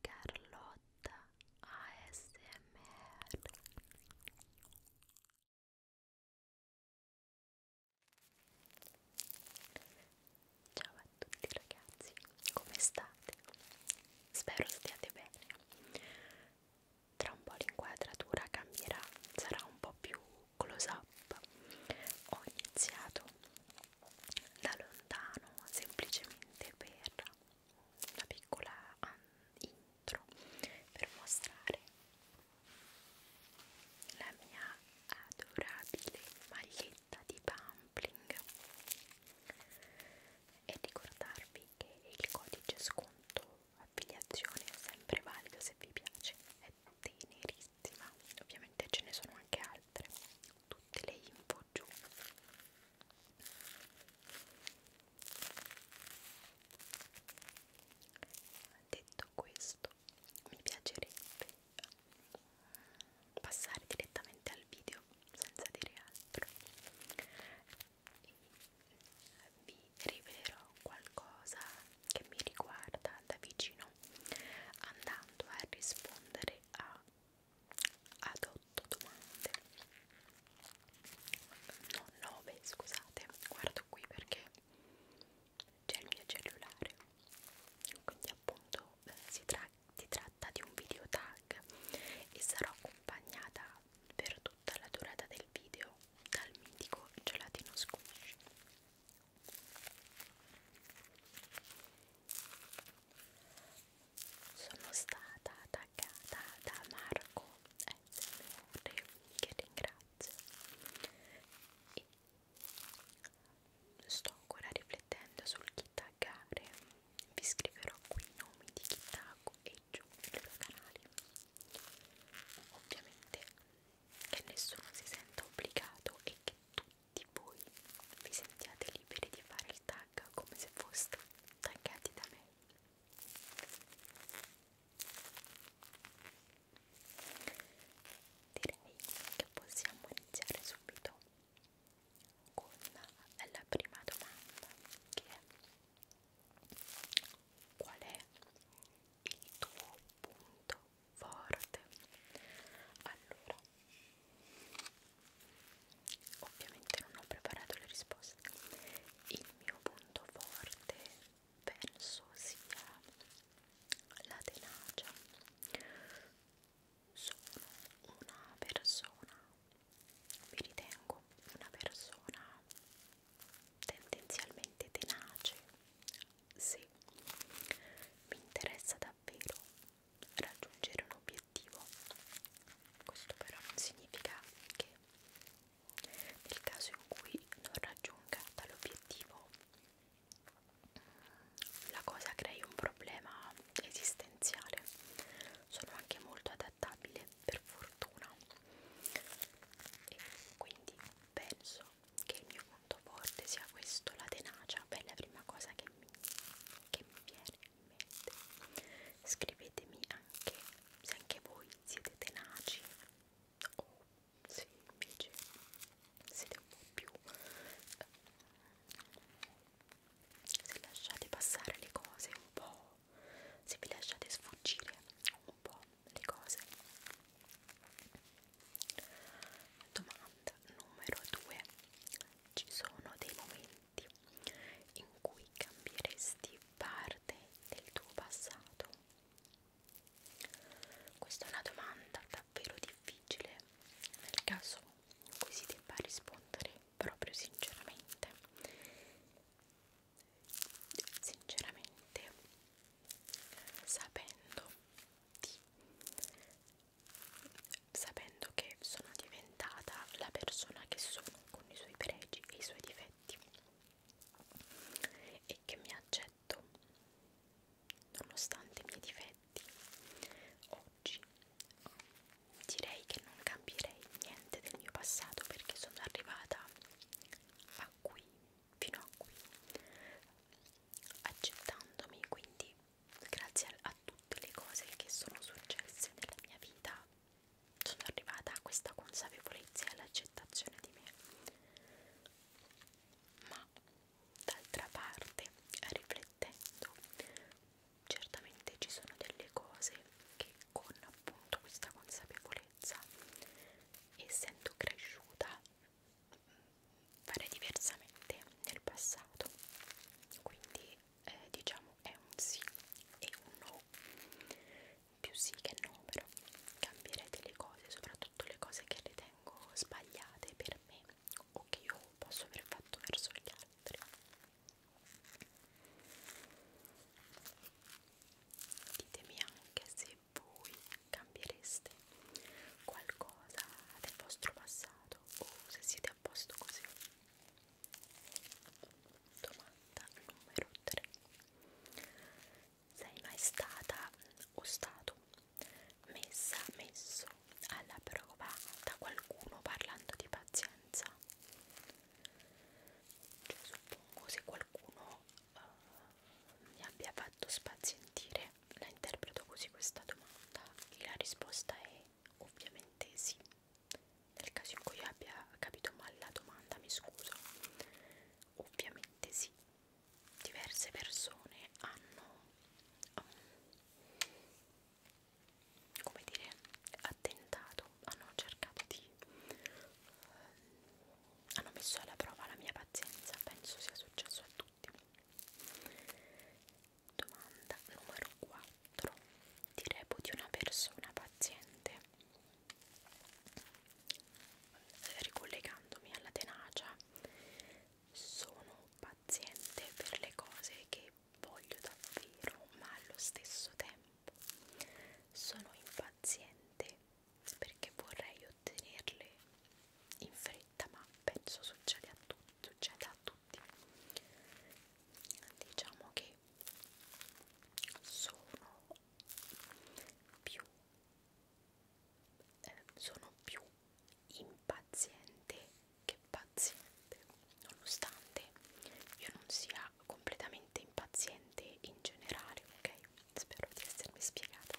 Carlotta ASMR Ciao a tutti ragazzi, come state? Spero stiate bene. Tra un po' l'inquadratura cambierà, sarà un po' più close up ho iniziato da lontano semplicemente per una piccola um, intro per mostrare la mia adorabile maglietta di Pumpling e ricordarvi che il codice sconto affiliazione è sempre valida se vi piace, è tenerissima, ovviamente ce ne sono anche altre, tutte le info giù. Detto questo, mi piacerebbe passare direttamente al video senza dire altro. E vi rivelerò qualcosa che mi riguarda da vicino andando a rispondere a, ad otto domande no, nove scusate guardo qui perché c'è il mio cellulare quindi appunto eh, si, tra si tratta di un video tag e sarò accompagnata per tutta la durata del video dal mitico gelatino squish sono stata attaccata da Marco SMR che ringrazio e sto ancora riflettendo sul Kitagare vi scriverò qui i nomi di Kitago e giù il loro canale Ovviamente che nessuno si senta obbligato e che tutti voi vi sentiate liberi di fare il tag come se foste taggati da me. Direi che possiamo iniziare subito con la prima domanda che è qual è il tuo punto forte allora ovviamente non ho preparato le risposte il mio punto forte penso sia la tenacia sono una persona mi ritengo una persona tendenzialmente tenace, se mi interessa davvero raggiungere un obiettivo, questo però non significa che nel caso in cui non raggiunga dall'obiettivo la cosa crei un problema esistenziale. Sono anche molto adatta adattabile per fortuna e quindi penso che il mio punto forte sia questo, la tenacia è la prima cosa che mi, che mi viene in mente scrivetemi anche se anche voi siete tenaci o se invece siete un po' più eh, se lasciate passare le cose un po' se vi lasciate sfuggire un po' le cose. Domanda numero 2. Ci sono dei momenti in cui cambieresti parte del tuo passato? Questa è una domanda davvero difficile nel caso in cui si debba rispondere proprio sinceramente sinceramente sapendo di sapendo che sono diventata la persona che sono con i suoi pregi e i suoi difetti e che mi accetto nonostante i miei difetti oggi direi che non cambierei niente del mio passato perché sono arrivata a qui, fino a qui, accettandomi quindi grazie a, a tutte le cose che sono successe nella mia vita sono arrivata a questa consapevolezza e all'accettazione di me ma d'altra parte riflettendo certamente ci sono delle cose che con appunto questa consapevolezza essendo cresciuta mm, farei diversamente nel passato quindi eh, diciamo è un sì e un no più sì che no però cambierei delle cose soprattutto le cose che ritengo sbagliate per me o che io posso aver fatto verso gli altri Ditemi anche se voi cambiereste qualcosa del vostro passato o se siete a posto così. Domanda numero 3. Sei mai stata o stato messa, messo alla prova da qualcuno parlando di pazienza? abbastanza cioè, suppongo se qualcuno uh, mi abbia fatto spazientire la interpreto così questa domanda e la risposta è ovviamente sì nel caso in cui io abbia capito male la domanda mi scuso ovviamente sì diverse persone hanno um, come dire attentato hanno cercato di eh, hanno messo alla prova la mia pazienza penso sia successo a tutti domanda numero 4 ti reputi una persona paziente ricollegandomi alla tenacia sono paziente per le cose che voglio davvero, ma allo stesso tempo sono impaziente perché vorrei ottenerle in fretta, ma penso succede a tutti, succede a tutti. Diciamo che sono più eh, sono più impaziente che paziente nonostante io non sia completamente impaziente in generale ok spero di essermi spiegata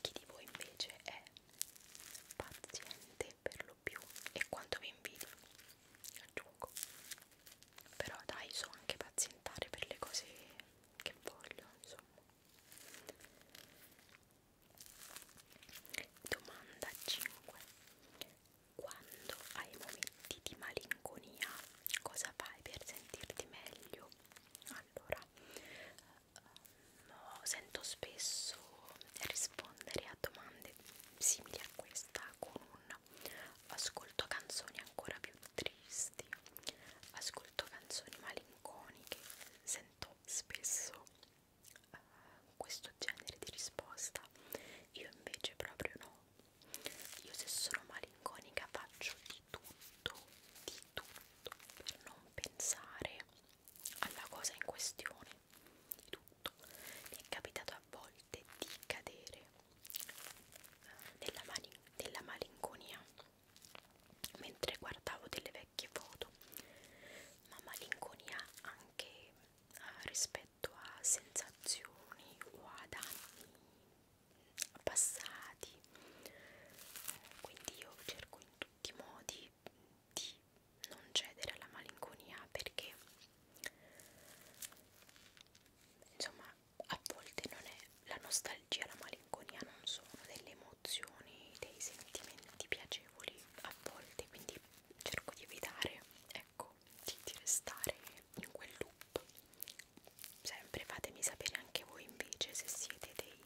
chi di voi invece è paziente per lo più e quanto vi invidio aggiungo però dai so anche pazientare per le cose che voglio insomma Domanda 5. Quando hai momenti di malinconia, cosa fai per sentirti meglio? Allora, eh, no, sento spesso rispondere a domande simili a questa con un ascolto canzoni ancora più tristi, ascolto canzoni malinconiche, sento spesso eh, questo genere di risposta io invece proprio no io se sono malinconica faccio di tutto di tutto per non pensare alla cosa in questione di tutto mi è capitato a volte di cadere eh, nella, nella malinconia mentre guardavo delle vecchie foto, ma malinconia anche eh, rispetto a sensazioni o ad anni passati. Eh, quindi io cerco in tutti i modi di non cedere alla malinconia perché insomma a volte non è la nostalgia e la malinconia non sono delle emozioni, dei sentimenti piacevoli a volte, quindi cerco di evitare, ecco, di, di restare in quel loop. Sempre fatemi sapere anche voi invece se siete dei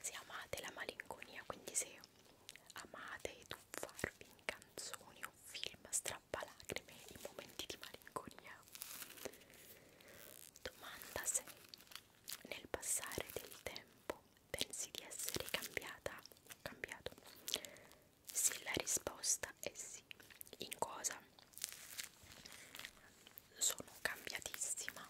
se amate la malinconia, quindi se amate tuffarvi in canzoni o film strappalacrime in momenti di malinconia. Domanda 6 nel passare del tempo pensi di essere cambiata cambiato? Se la risposta è sì, in cosa? Sono cambiatissima.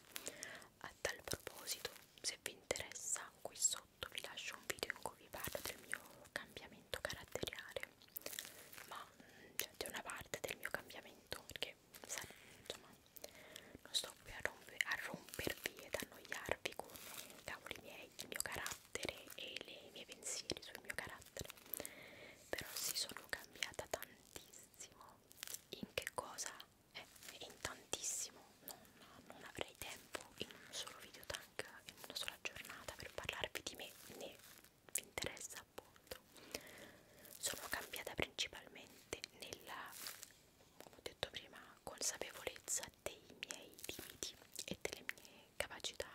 A tal proposito, se vi interessa, qui sotto vi lascio un video in cui vi parlo del mio cambiamento caratteriale. Ma c'è mm, cioè, una parte del mio cambiamento perché perché insomma, non sto qui a, romper, a rompervi ed annoiarvi con cavoli miei, il mio carattere e le mie pensieri sul mio carattere però si sono cambiata tantissimo in che cosa? Eh, in tantissimo non, non avrei tempo in un solo video tank in una sola giornata per parlarvi di me né vi interessa appunto sono cambiata principalmente nella come ho detto prima consapevolezza dei miei limiti e delle mie capacità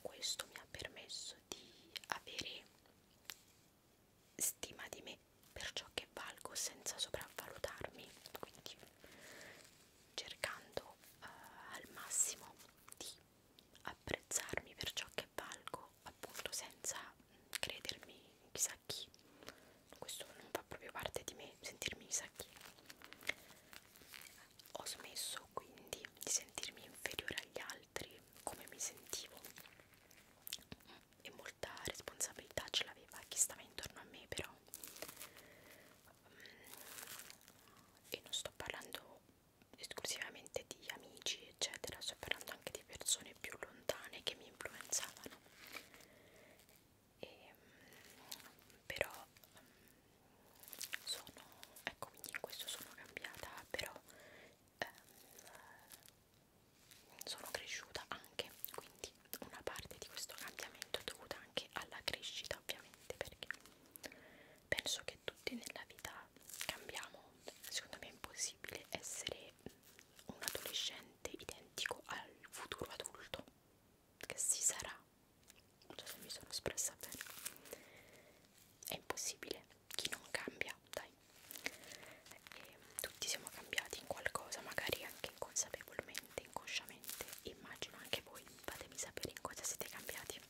questo mi ha permesso di avere stima di me per ciò che valgo senza sopravvalutarmi quindi cercando eh, al massimo di di apprezzarmi per ciò che valgo appunto senza credermi chissà chi questo non fa proprio parte di me sentirmi chissà chi ho smesso quindi di sentirmi inferiore agli altri come mi sentivo e molta responsabilità ce l'aveva chi stava intorno a me però e non sto parlando esclusivamente di amici eccetera sto parlando anche di persone più lontane che mi influenzavano e, ehm, però sono ecco quindi in questo sono cambiata però ehm, sono cresciuta anche quindi una parte di questo cambiamento è dovuta anche alla crescita ovviamente perché penso che tutti nella vita cambiamo, secondo me è impossibile essere un adolescente identico al futuro adulto che si sarà, non so se mi sono espressa bene, è impossibile, chi non cambia, dai, e tutti siamo cambiati in qualcosa, magari anche inconsapevolmente, inconsciamente, immagino anche voi, fatemi sapere in cosa siete cambiati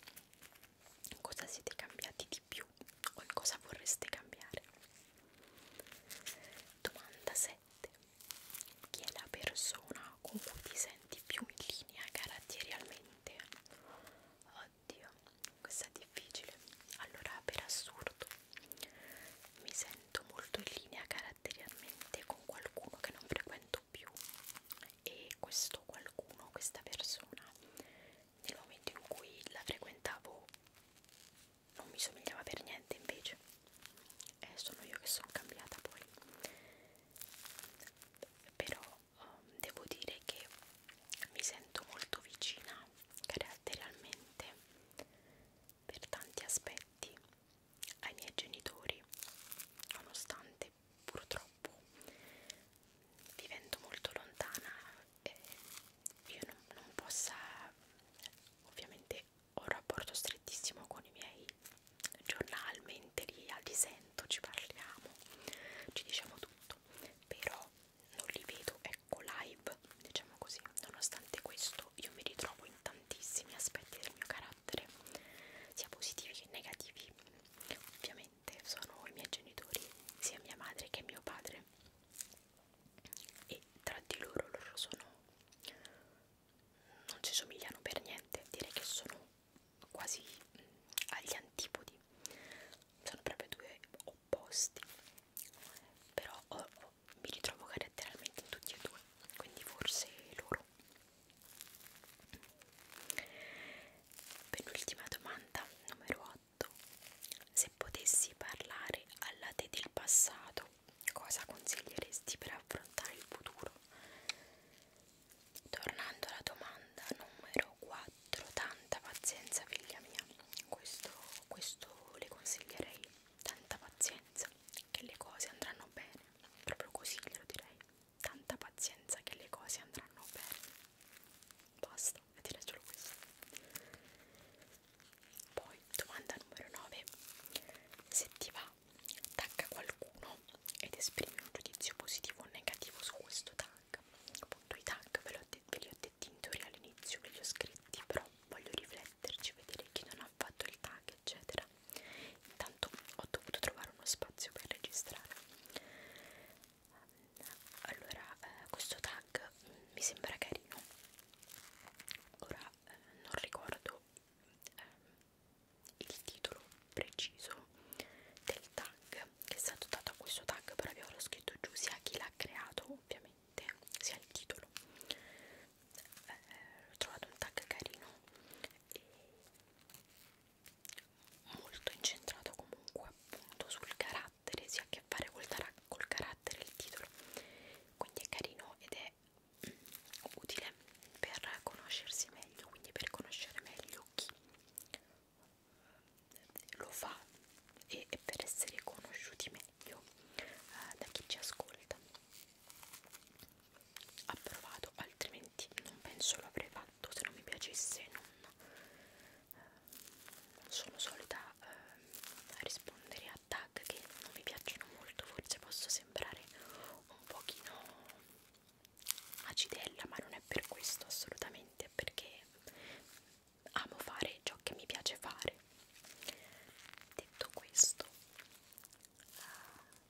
cosa siete cambiati di più o in cosa vorreste cambiare. Domanda 7. Chi è la persona con cui ti senti più in linea caratterialmente? Oddio, questa è difficile. Allora, per assurdo, mi sento molto in linea caratterialmente con qualcuno che non frequento molto più e questo qualcuno, questa persona nel momento in cui la frequentavo non mi somigliava per niente invece eh, sono io che sono cambiata poi però um, devo dire che mi sento molto vicina caratterialmente per tanti aspetti ai miei genitori nonostante purtroppo vivendo molto lontana eh, io non, non possa ovviamente ho un rapporto strettissimo con i miei giornalmente lì al disento ci parliamo ci diciamo tutto però non li vedo ecco live diciamo così nonostante questo io mi ritrovo in tantissimi aspetti del mio carattere carattere, sia positivi che negativi. Ovviamente sono i miei genitori, sia mia madre che mio padre, e tra di loro loro sono. non si somigliano per niente, direi che sono quasi mh, mm, agli antipodi, sono proprio due opposti, però oh, oh, mi ritrovo caratterialmente in tutti e due, quindi forse loro Penultima domanda, numero 8. Se potessi parlare alla te del passato, cosa consiglieresti per affrontare il futuro? Tornando alla domanda numero 4, tanta pazienza figlia mia, questo, questo le consiglierei, tanta pazienza, che le cose andranno bene, proprio così glielo direi tanta pazienza che le cose andranno bene. Basta, e direi solo questo. Poi, domanda numero 9. Se ti va, tagga qualcuno ed esprimi un giudizio positivo o negativo su questo tag. Appunto, i tag ve, ve li ho detti in teoria all'inizio, ve li ho scritti, però voglio rifletterci, vedere chi non hanno fatto il tag eccetera intanto ho dovuto trovare uno spazio per registrare allora eh, questo tag mm, mi sembra carino ora eh, non ricordo eh, il titolo preciso del tag che è stato dato a questo tag però vi avrò scritto giù sia chi l'ha creato ovviamente sia il titolo eh, ho trovato un tag carino e molto incentrato comunque appunto sul carattere si ha a che fare col, col carattere il titolo quindi è carino ed è utile per conoscersi meglio quindi per conoscere meglio chi lo fa e, e per essere conosciuti meglio eh, da chi ci ascolta approvato altrimenti non penso lo avrei fatto se non mi piacesse non, eh, non sono solita eh, rispondere a tag che non mi piacciono molto forse posso sembrare un pochino acidella ma non è per questo assolutamente perché amo fare ciò che mi piace fare detto questo eh,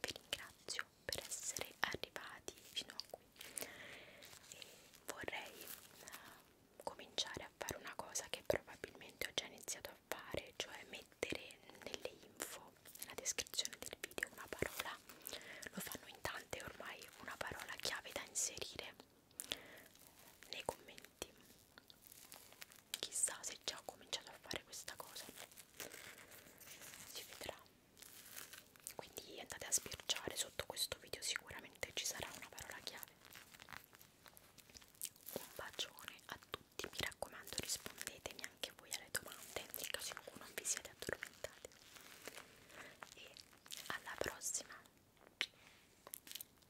vi ringrazio per essere arrivati fino a qui e vorrei uh, cominciare a fare una cosa che probabilmente ho già iniziato a fare cioè mettere nelle info nella descrizione del video una parola lo fanno in tante ormai una parola chiave da inserire nei commenti chissà se già ho cominciato a fare questa cosa si vedrà quindi andate a sbirciare sotto questo video sicuramente ci sarà una parola chiave un bacione a tutti mi raccomando rispondetemi anche voi alle domande nel caso in cui non vi siete addormentati e alla prossima